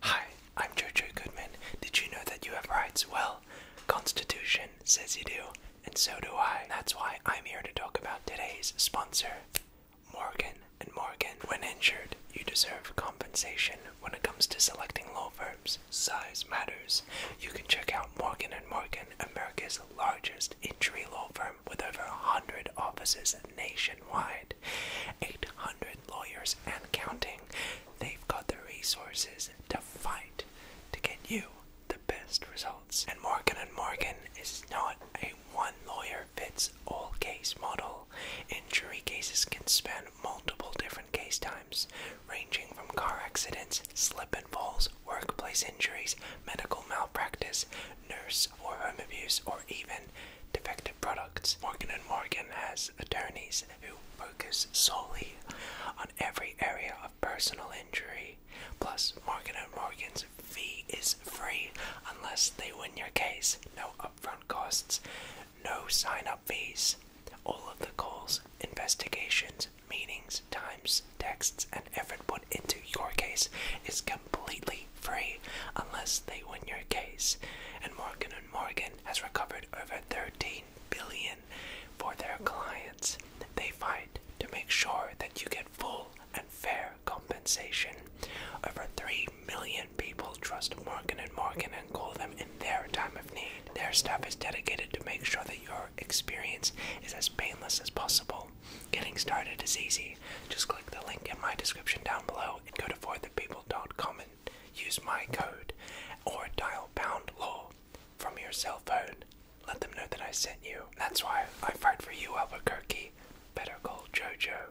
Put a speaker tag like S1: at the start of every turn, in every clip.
S1: Hi, I'm Jojo Goodman. Did you know that you have rights? Well, Constitution says you do, and so do I. That's why I'm here to talk about today's sponsor, Morgan and Morgan. When injured, you deserve compensation when it comes to selecting law firms. Size matters. You can check out Morgan and Morgan, America's largest injury law firm with over 100 offices nationwide, 800 lawyers and counting. They've got the resources to fight to get you the best results. And Morgan & Morgan is not a one lawyer fits all case model. Injury cases can span multiple different case times, ranging from car accidents, slip and falls, workplace injuries, medical malpractice, nurse reviews, home reviews, or even defective products. Morgan & Morgan has attorneys who focus solely on every area of personal injury. Plus, Morgan & Morgan's fee is free unless they win your case. No upfront costs, no sign-up fees. All of the calls, investigations, meetings, times, texts, and effort put into your case is completely free unless they win your case. And Morgan & Morgan has recovered over 13 billion for their clients. They fight to make sure that you get full and fair compensation. Over 3 million people trust Morgan & Morgan and call them in their time of need. Their staff is dedicated to make sure that your experience is as painless as possible. Getting started is easy. Just click the link in my description down below and go to forthepeople.com and use my code or dial pound law from your cell phone. Let them know that I sent you. That's why I fight for you, Albuquerque. Better call Jojo.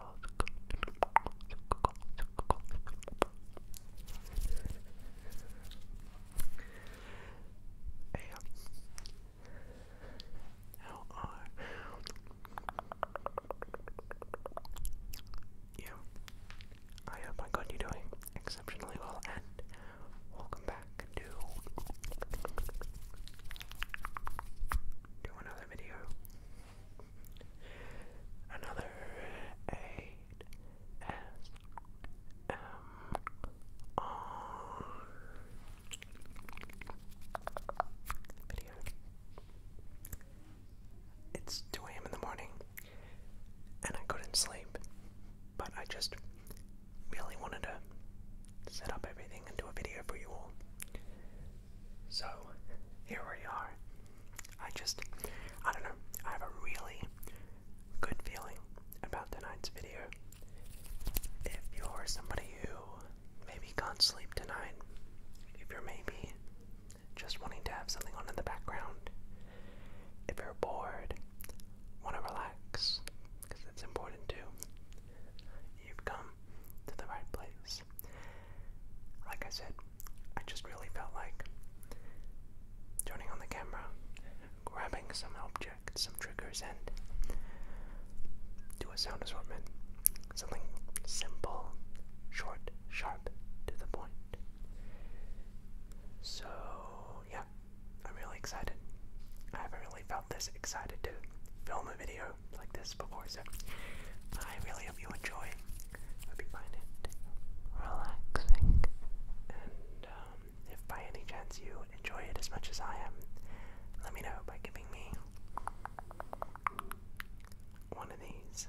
S1: How you? I hope I got you doing exceptionally well, and welcome back to do another video. Another eight S video. It's two AM in the morning and I couldn't sleep, but I just really wanted to set up everything and do a video for you all. So here we are. I just, I don't know, I have a really good feeling about tonight's video. If you're somebody who maybe can't sleep tonight, if you're maybe just wanting to have something on in the background, if you're bored, want to relax, because that's important too, You've come to the right place. Like I said, I just really felt like turning on the camera, grabbing some object, some triggers, and do a sound assortment. Something simple, short, sharp, to the point. So, yeah, I'm really excited. I haven't really felt this excited to film a video like this before, so I really hope you enjoy. Hope you find it relaxing, and um, if by any chance you enjoy it as much as I am, let me know by giving me one of these.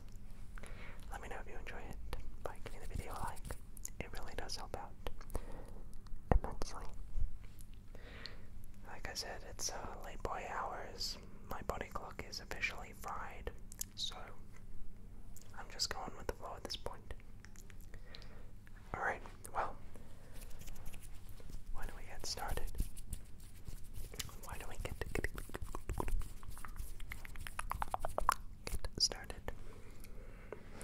S1: Let me know if you enjoy it by giving the video a like. It really does help out immensely. Like I said, it's uh, late boy hours my body clock is officially fried, so I'm just going with the flow at this point. Alright, well, why don't we get started? Why don't we get, get, get started?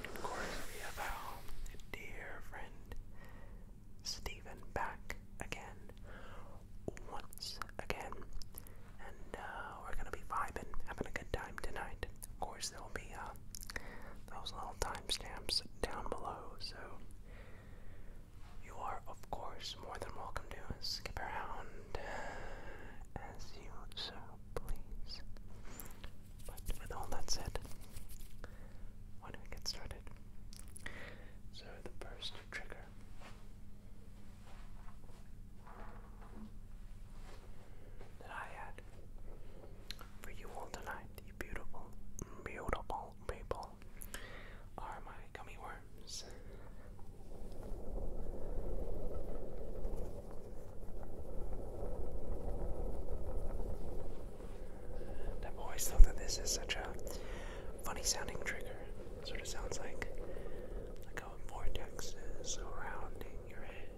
S1: Of course, we have our dear friend Stephen back again once again. And uh, we're gonna be vibing, having a good time tonight. Of course, there'll be uh, those little timestamps down below, so you are, of course, more than welcome to skip around uh, as you so please. But with all that said, why don't we get started? So, the first trigger. That I had for you all tonight, you beautiful, beautiful people, are my gummy worms. I've always thought that this is such a funny sounding trigger. Sort of sounds like like a vortex is surrounding your head.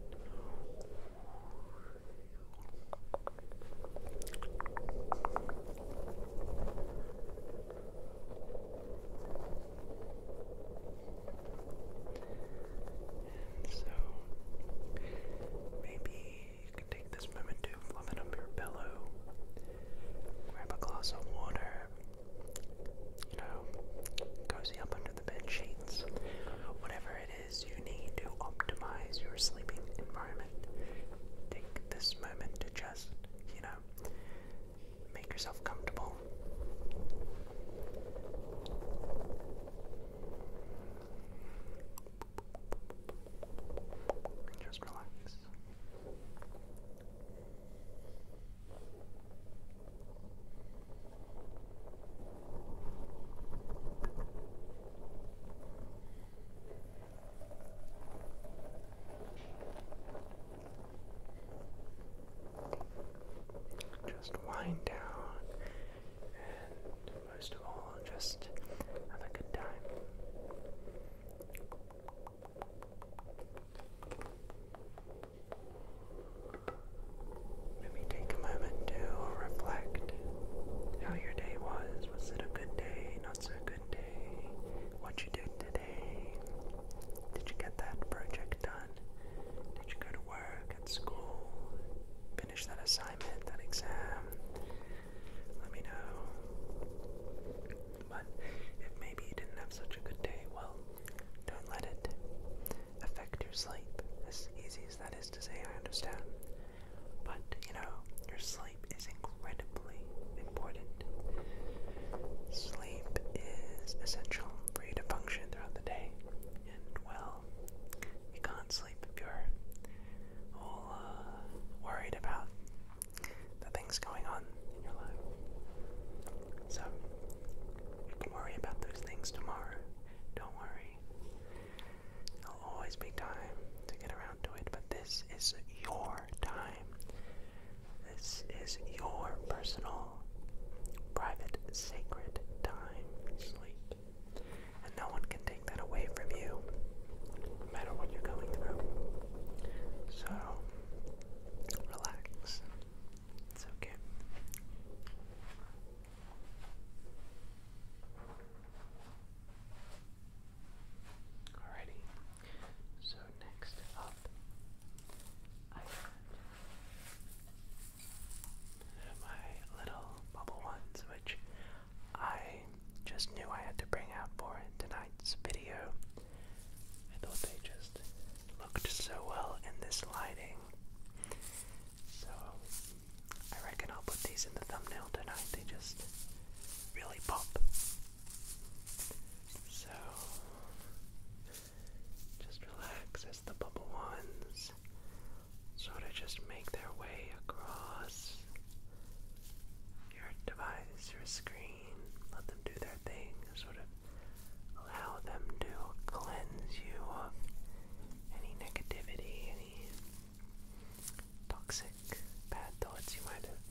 S1: so maybe take this moment to fluff up your pillow, grab a glass of water, you know, cozy up under the bed sheets, whatever it is you need to optimize your sleeping environment. Take this moment to just, you know, make yourself comfortable. Just relax. Just wind down and most of all, just have a good time. Let me take a moment to reflect how your day was. Was it a good day? Not so good day? What you did today? Did you get that project done? Did you go to work, at school, finish that assignment, that exam? let me know. But if maybe you didn't have such a good day, well, don't let it affect your sleep. As easy as that is to say, I understand. But, you know, your sleep is incredibly important. Sleep is essential for you to function throughout the day. And, well, you can't sleep if you're all uh, worried about the things going on in your life. So, you can worry about those things tomorrow. Don't worry. There'll always be time to get around to it, but this is your time. This is your personal, private, sacred time sleep. And no one can take that away from you, no matter what you're going through. So, relax. It's okay. Alrighty. So next up, I have my little bubble ones, which I just knew I had to bring out for tonight's video. I thought they just looked so well in this lighting. So I reckon I'll put these in the thumbnail tonight. They just really pop. So just relax as the bubble ones sort of just make their way across your device, your screen, let them do their thing, sort of allow them to cleanse you of any negativity, any toxic bad thoughts you might have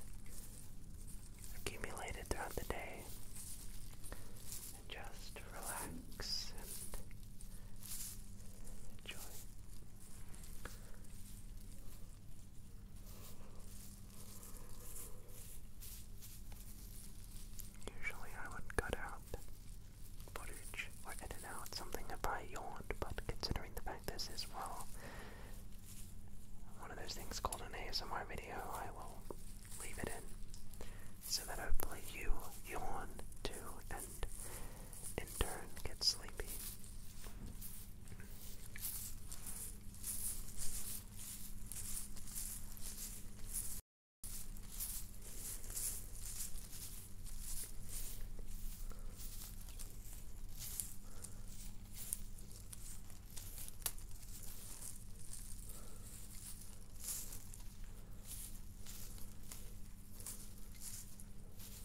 S1: accumulated throughout the day. just relax and enjoy. Usually I would cut out footage or edit out something if I yawned, but considering the fact this is, well, one of those things called an ASMR video, I will leave it in so that hopefully you yawn too and in turn get sleepy.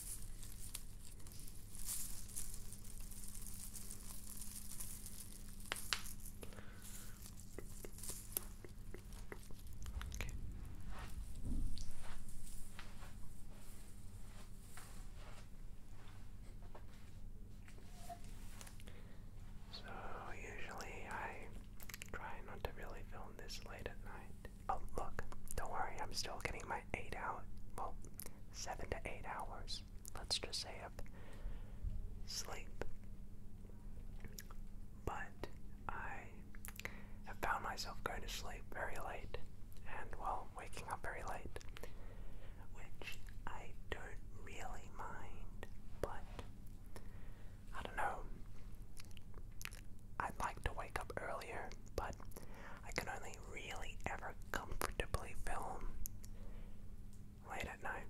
S1: Okay. So, usually I try not to really film this late at night, Oh, look, don't worry, I'm still getting my eight out. Well, seven to eight hours, let's just say, of sleep. But I have found myself going to sleep very late and, well, waking up very late, which I don't really mind, but I don't know. I'd like to wake up earlier, but I can only really ever comfortably film late at night,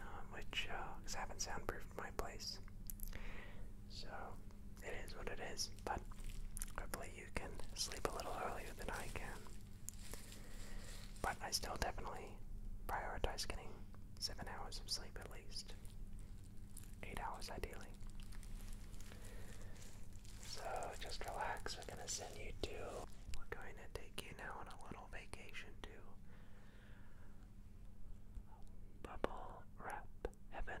S1: um, which uh, I haven't soundproofed my place. So it is what it is, but hopefully you can sleep a little earlier than I can. But I still definitely prioritize getting seven hours of sleep at least eight hours ideally. So just relax. We're gonna send you to. We're going to take you now on a little vacation to bubble wrap heaven.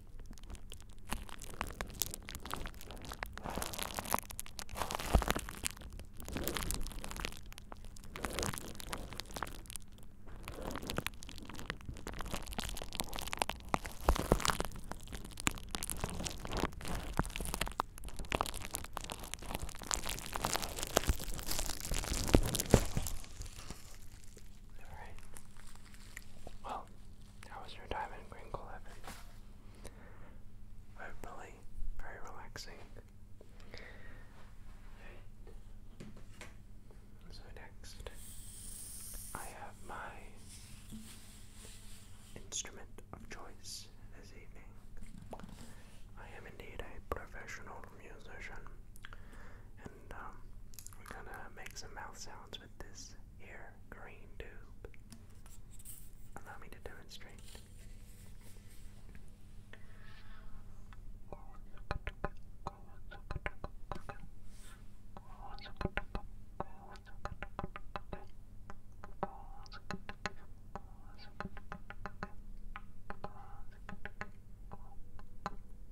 S1: All right. Well, how was your time in Greenville, Evan? Hopefully, very relaxing. So next, I have my instrument of choice this evening. I am indeed a professional musician, um, we're gonna make some mouth sounds with this here green tube. Allow me to demonstrate.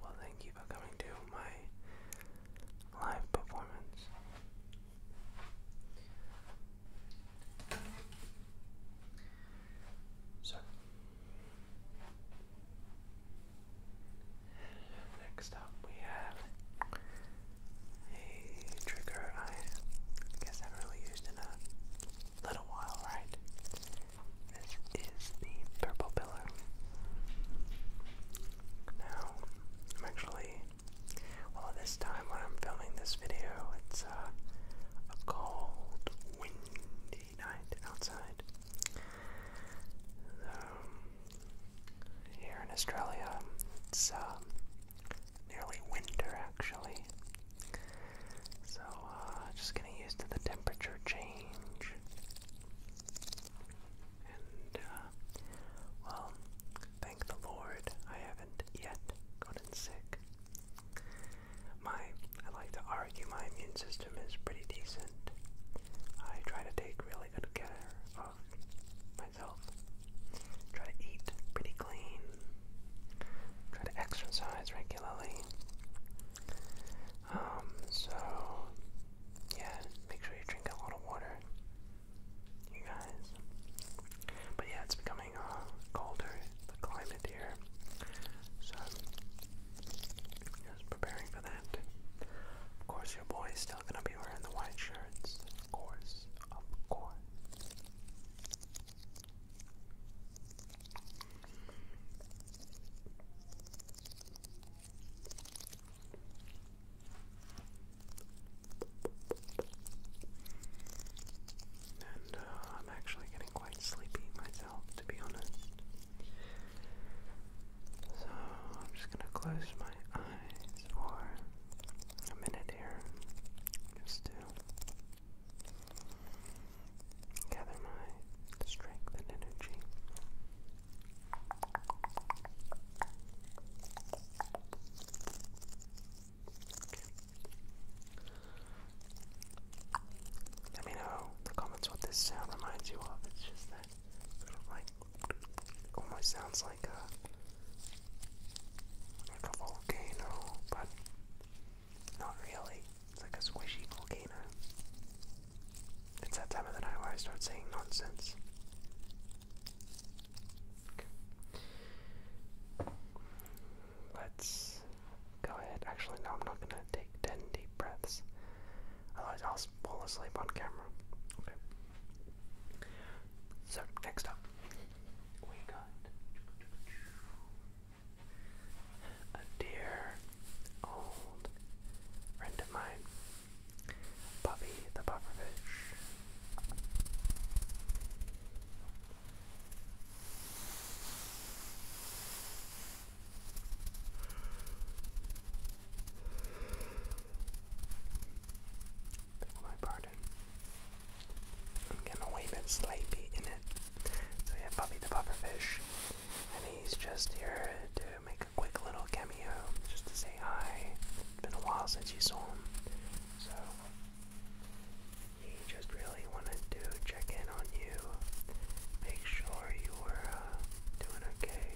S1: Well, thank you for coming to my live performance. So, next up we have a trigger I guess I haven't really used in a little while, right? This is the purple pillar. Now, I'm actually, well, this time when I'm filming this video, it's a, cold, windy night outside. Um, here in Australia, it's um, nearly winter actually. So, uh, just getting used to the temperature change. And, uh, well, thank the Lord, I haven't yet gotten sick. My, I like to argue my immune system is pretty decent. I try to take really good care of myself. Try to eat pretty clean. Try to exercise regularly. Um, so yeah, make sure you drink a lot of water, you guys. But yeah, it's become uh, colder, the climate here. So, just preparing for that. Of course, your boy's still gonna be wearing the white shirts. Of course, of course and uh, I'm actually getting quite sleepy myself, to be honest. So I'm just gonna close my eyes for a minute here, just to gather my strength and energy. Let me know in the comments what this sound reminds you of. It's just that sort like almost sounds like a like a volcano, but not really. It's like a squishy volcano. It's that time of the night where I start saying nonsense let's go ahead. Actually, no, I'm not gonna take 10 deep breaths. Otherwise, I'll fall asleep on camera. Okay. So, next up, we got a dear old friend of mine, Bobby the Pufferfish my pardon. I'm getting a wee sleepy in it. So yeah, Bobby the Pufferfish, and he's just here to make a quick little cameo, just to say hi. It's been a while since you saw him, so he just really wanted to check in on you, make sure you were uh, doing okay.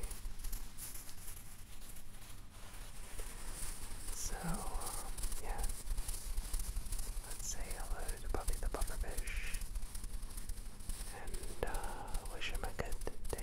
S1: So, um, yeah, let's say hello to Puppy the Pufferfish and uh, wish him a good day.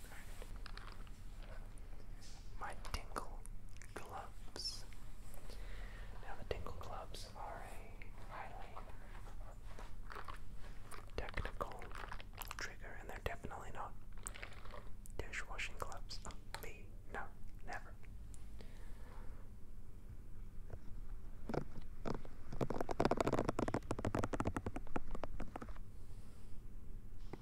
S1: My Tingle Gloves. Now, the Tingle Gloves are a highly technical trigger, and they're definitely not dishwashing gloves. Oh, me, no, never.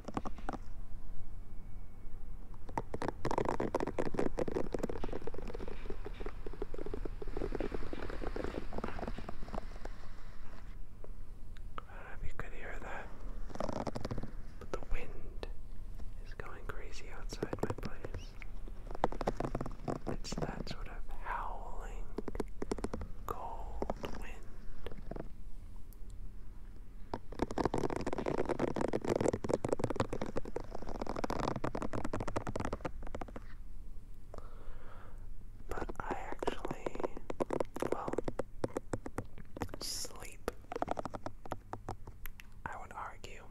S1: I do you could hear that, but the wind is going crazy outside my place. It's that sort of howling, cold wind. But I actually, well, sleep, I would argue,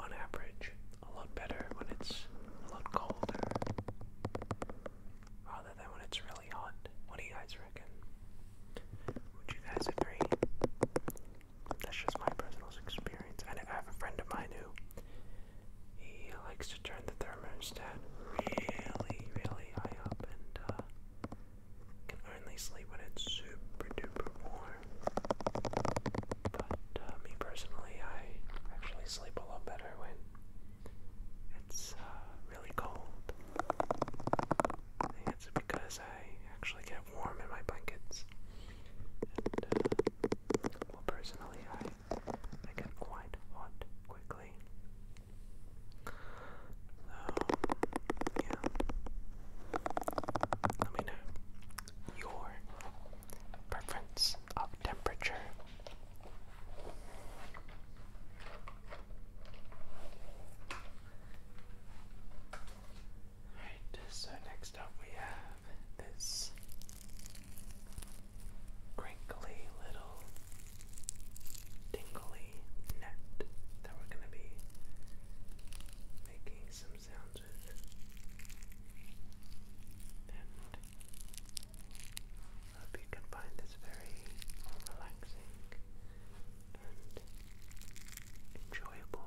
S1: on average, a lot better when it's a lot colder rather than when it's really what do you guys reckon? Would you guys agree? That's just my personal experience. I have a friend of mine who he likes to turn the thermostat really, really high up and uh, can only sleep when it's super duper warm. But uh, me personally, I actually sleep a lot better when it's uh, really cold. I it's because I actually get warm in my blankets. And, uh, well, personally, I, I get quite hot quickly. So, yeah. Let me know your preference of temperature. Alright, so next up we have this crinkly little tingly net that we're going to be making some sounds with. And I hope you can find this very relaxing enjoyable.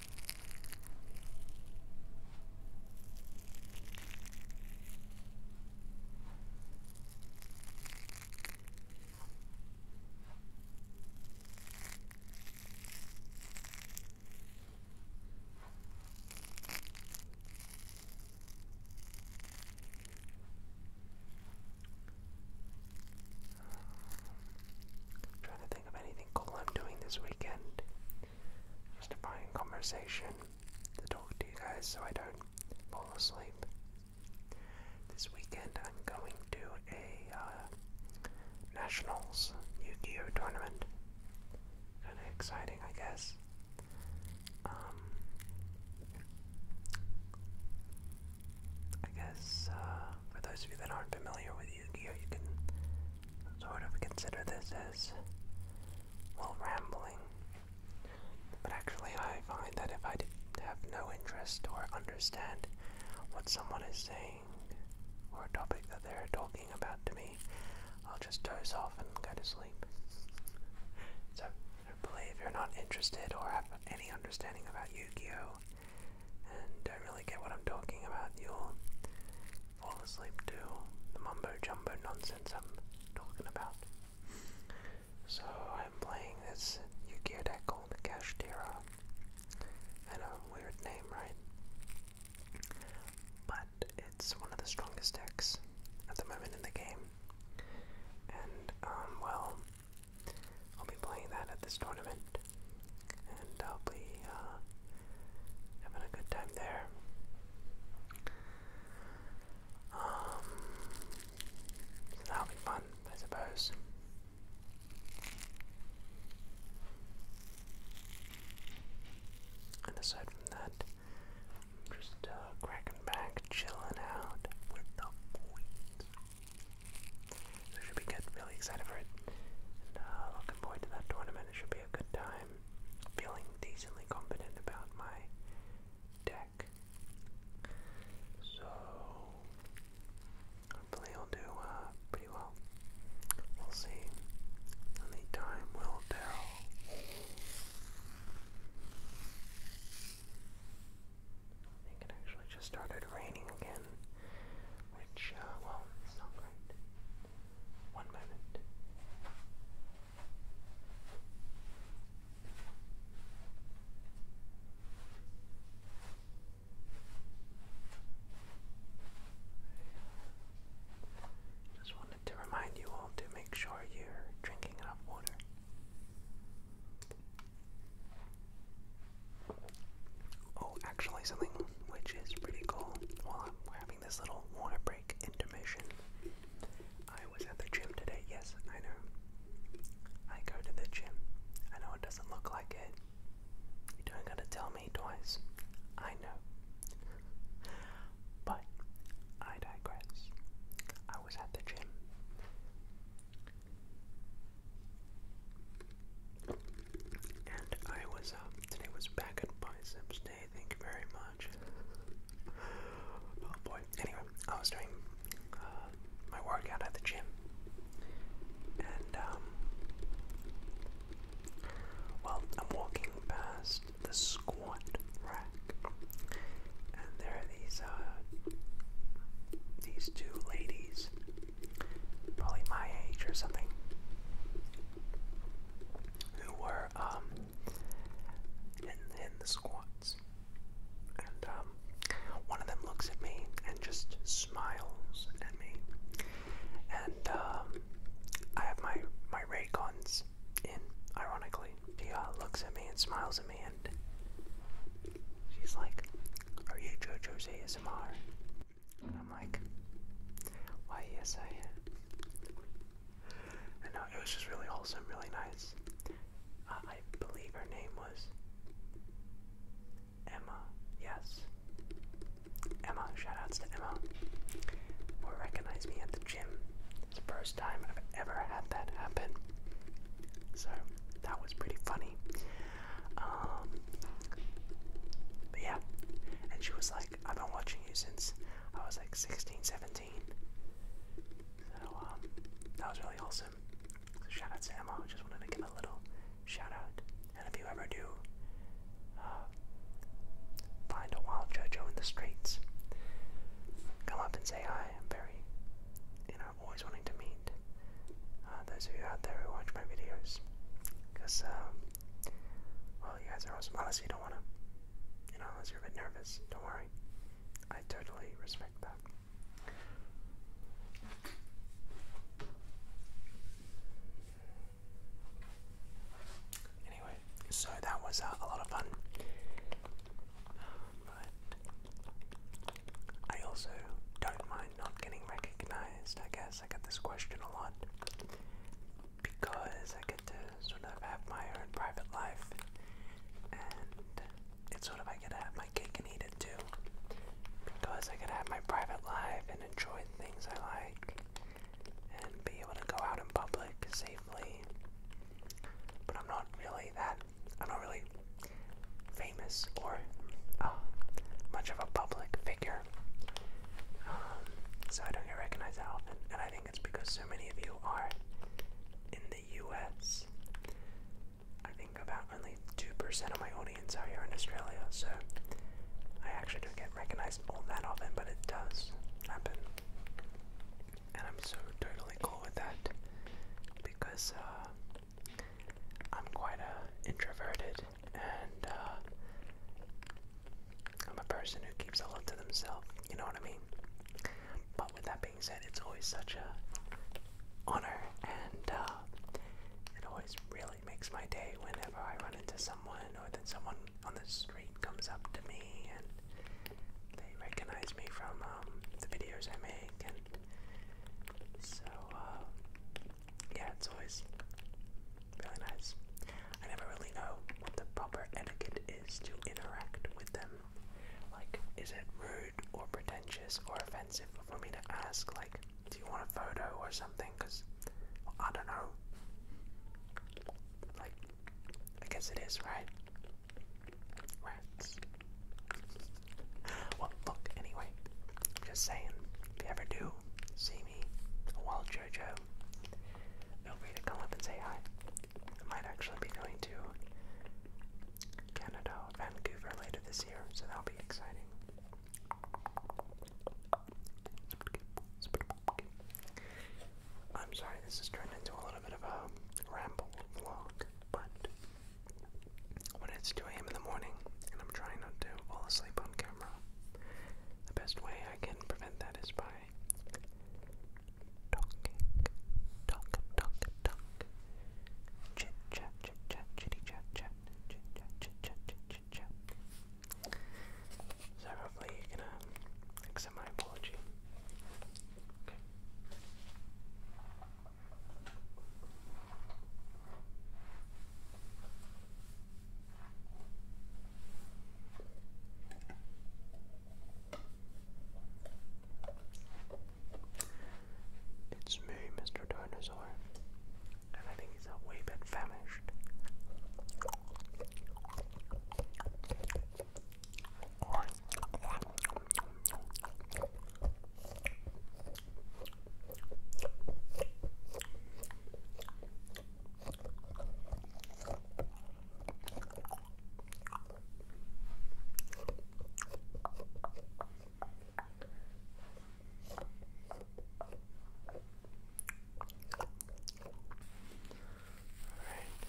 S1: I'm trying to think of anything cool I'm doing this weekend. Just justifying conversation to talk to you guys so I don't fall asleep. This weekend I'm going to a uh, Nationals yu gi tournament. Kind of exciting, I guess. Um, I guess uh, for those of you that aren't familiar with Yu-Gi-Oh, you can sort of consider this as, well, rambling. But actually, I find that if I have no interest or understand what someone is saying or a topic that they're talking about to me, I'll just doze off and go to sleep. So, hopefully, if you're not interested or have any understanding about Yu-Gi-Oh, and don't really get what I'm talking about, you'll fall asleep to the mumbo jumbo nonsense I'm talking about. So I'm playing this Yu-Gi-Oh deck called Kashtira. I know, weird name, right? But it's one of the strongest decks at the moment in the game. And, um, well, I'll be playing that at this tournament and I'll be uh, having a good time there. Um, that'll be fun, I suppose. And aside from that, just uh, cracking back, chilling out with the boys. So should be good. Really excited for it. Uh, looking to that tournament. It should be a good time. Feeling decently confident about my deck. So, hopefully, I'll do uh, pretty well. We'll see. Only time will tell. I think it actually just started raining again which, uh, well, it's not great. One moment. Just wanted to remind you all to make sure you're drinking enough water. Oh, actually, something which is pretty cool. While I'm having this little water break intermission, I was at the gym today. Yes, I know. I go to the gym. I know it doesn't look like it. You don't gotta tell me twice. I know. But I digress. I was at the gym. And I was up. Uh, today was back at Biceps Day. Thank you very much. oh boy. Anyway, I was doing uh, my workout at the gym. And, um, well, I'm walking past the squat rack. And there are these, uh, these two ladies probably my age or something, who were um, in, in the squats. And um, one of them looks at me and just smiles at me. And um, I have my, my guns. And ironically. She looks at me and smiles at me and she's like, are you JoJo's ASMR? And I'm like, why yes I am. And no, uh, it was just really wholesome, really nice. Uh, I believe her name was Emma. Yes. Emma, shoutouts to Emma. Will recognize me at the gym. It's the first time I've ever had that happen. So that was pretty funny. Um, but yeah, and she was like, I've been watching you since I was like 16, 17. So um, that was really awesome. shout out to Emma. I just wanted to give a little shout out. And if you ever do uh, find a wild JoJo in the streets, come up and say hi. I'm very, you know, always wanting to meet uh, those of you out there who watch my videos. Because um, well, you guys are awesome. Unless you don't want to, you know, unless you're a bit nervous, don't worry. I totally respect that. Anyway, so that was uh, a lot of fun. I also don't mind not getting recognized. I guess I get this question a lot because I get to sort of have my own private life, and it's sort of I get to have my cake and eat it too because I get to have my private life and enjoy things I like and be able to go out in public safely. But I'm not really that. I'm not really famous or uh, much of a public figure there. Um, so I don't get recognized that often, and I think it's because so many of you are in the US. I think about only 2% of my audience are here in Australia, so I actually don't get recognized all that often, but it does happen. And I'm so totally cool with that because uh, I'm quite a introverted and uh, I'm a person who keeps a lot to themselves. You know what I mean? But with that being said, it's always such a honor, and uh, it always really makes my day whenever I run into someone or that someone on the street comes up to me and they recognize me from um, the videos I make. And so uh, yeah, it's always really nice. I never really know what the proper etiquette is to interact with them. Like, is it rude or pretentious or offensive for me to ask, like, do you want a photo or something? Because well, I don't know. Like, I guess it is, right? Rats. Well, look, anyway, just saying, if you ever do see see me, a wild JoJo, feel free to come up and say hi. I might actually be going to Canada, Vancouver later this year, so that'll be exciting. I'm sorry, this has turned into a little bit of a ramble vlog, but when it's 2 a.m. in the morning and I'm trying not to fall asleep on camera, the best way I can prevent that is by talking, talk, talk, talk, chit chat, chit chat, chitty chat, chat, chit chat, chit chat, chit chat. So hopefully you can um, accept my apology. Okay. It's me, Mr. Dinosaur, and I think he's a wee bit famished. Alright,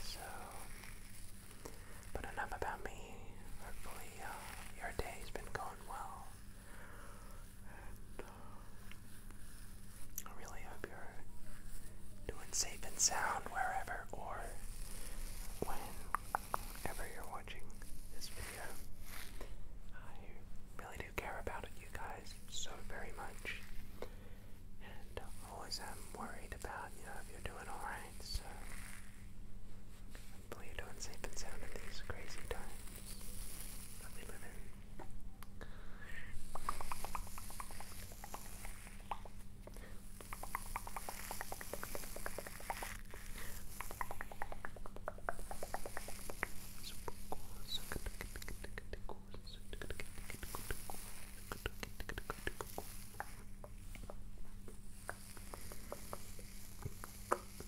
S1: so but enough about me. Hopefully uh, your day's been going well. Uh, I really hope you're doing safe and sound wherever or whenever you're watching this video. I really do care about you guys so very much. And uh, always am worried about, you know, if you're doing alright, so hopefully you're safe and sound in these crazy times that we live in.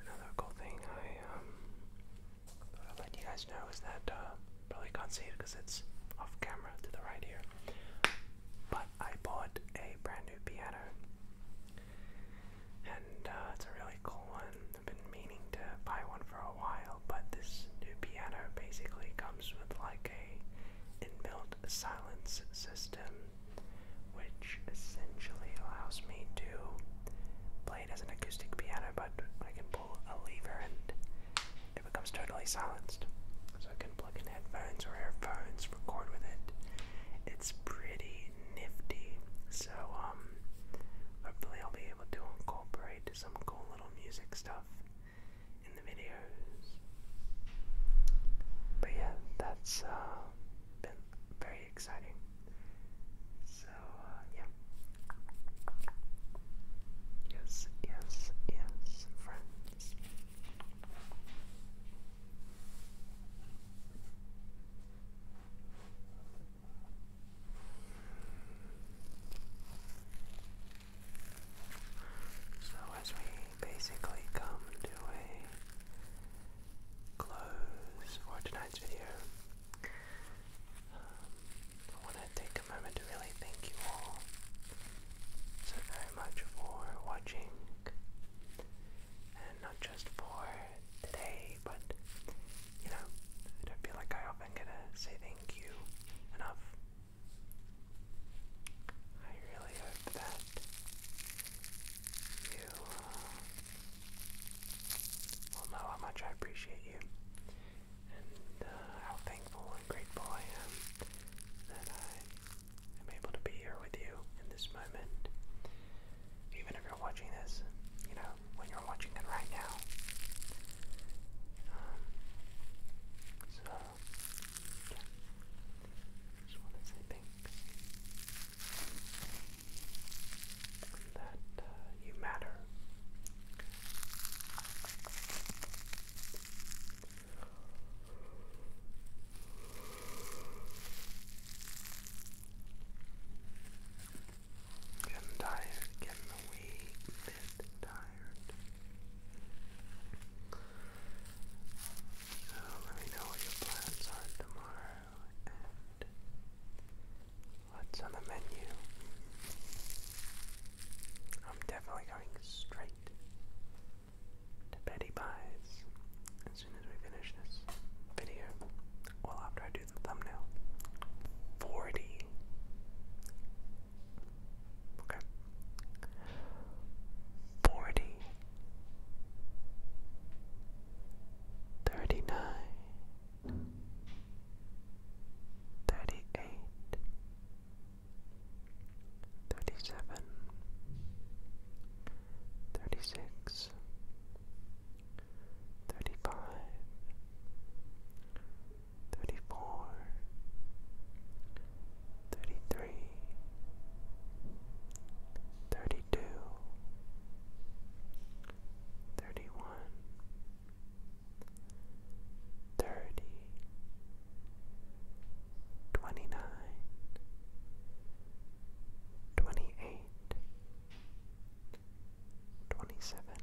S1: Another cool thing I um, let you guys know is that uh, probably can't see it because it's off camera to the right here. But I bought a brand new piano, and uh, it's a really cool one. I've been meaning to buy one for a while, but this new piano basically comes with like a inbuilt silence system, which essentially allows me to play it as an acoustic piano, but I can pull a lever and it becomes totally silenced. So I can plug in headphones or earphones, record with it. It's pretty nifty. So um hopefully I'll be able to incorporate some cool little music stuff in the videos. But yeah, that's uh, been very exciting. So uh, yeah. Yes, yes, yes, friends. So, as we basically come to a close for tonight's video, um, I want to take a moment to really thank you all so very much for watching, and not just for today, but you know, I feel like I often get to say thank you enough. I really hope that you uh, will know how much I appreciate you and uh, how thankful and grateful I am that I am able to be here with you in this moment. Even if you're watching this, you know, when you're watching it right now. Um, so, Okay. This one is a pink. That uh, you matter. Getting tired, getting a wee tired. So let me know what your plans are tomorrow and what's on the menu. I'm definitely going straight to Betty Buys as soon as we finish this video. Well, after I do the thumbnail. 40 Okay. Forty. Thirty-nine. Thirty-eight. Thirty-seven. Thirty-six. Thirty-five thirty-four, thirty-three, thirty-two, thirty-one, thirty, twenty-nine, twenty-eight, twenty-seven. 26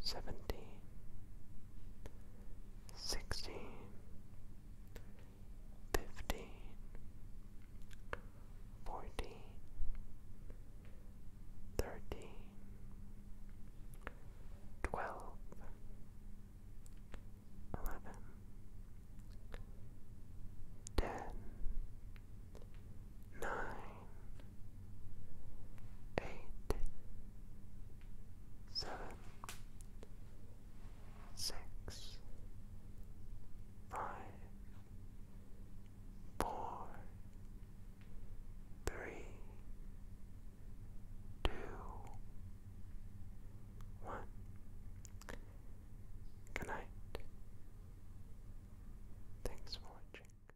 S1: seventeen, sixteen, fifteen, fourteen, thirteen, twelve, eleven, ten, nine, eight, seven, six, five, four, three, two, one. Good Thanks for watching.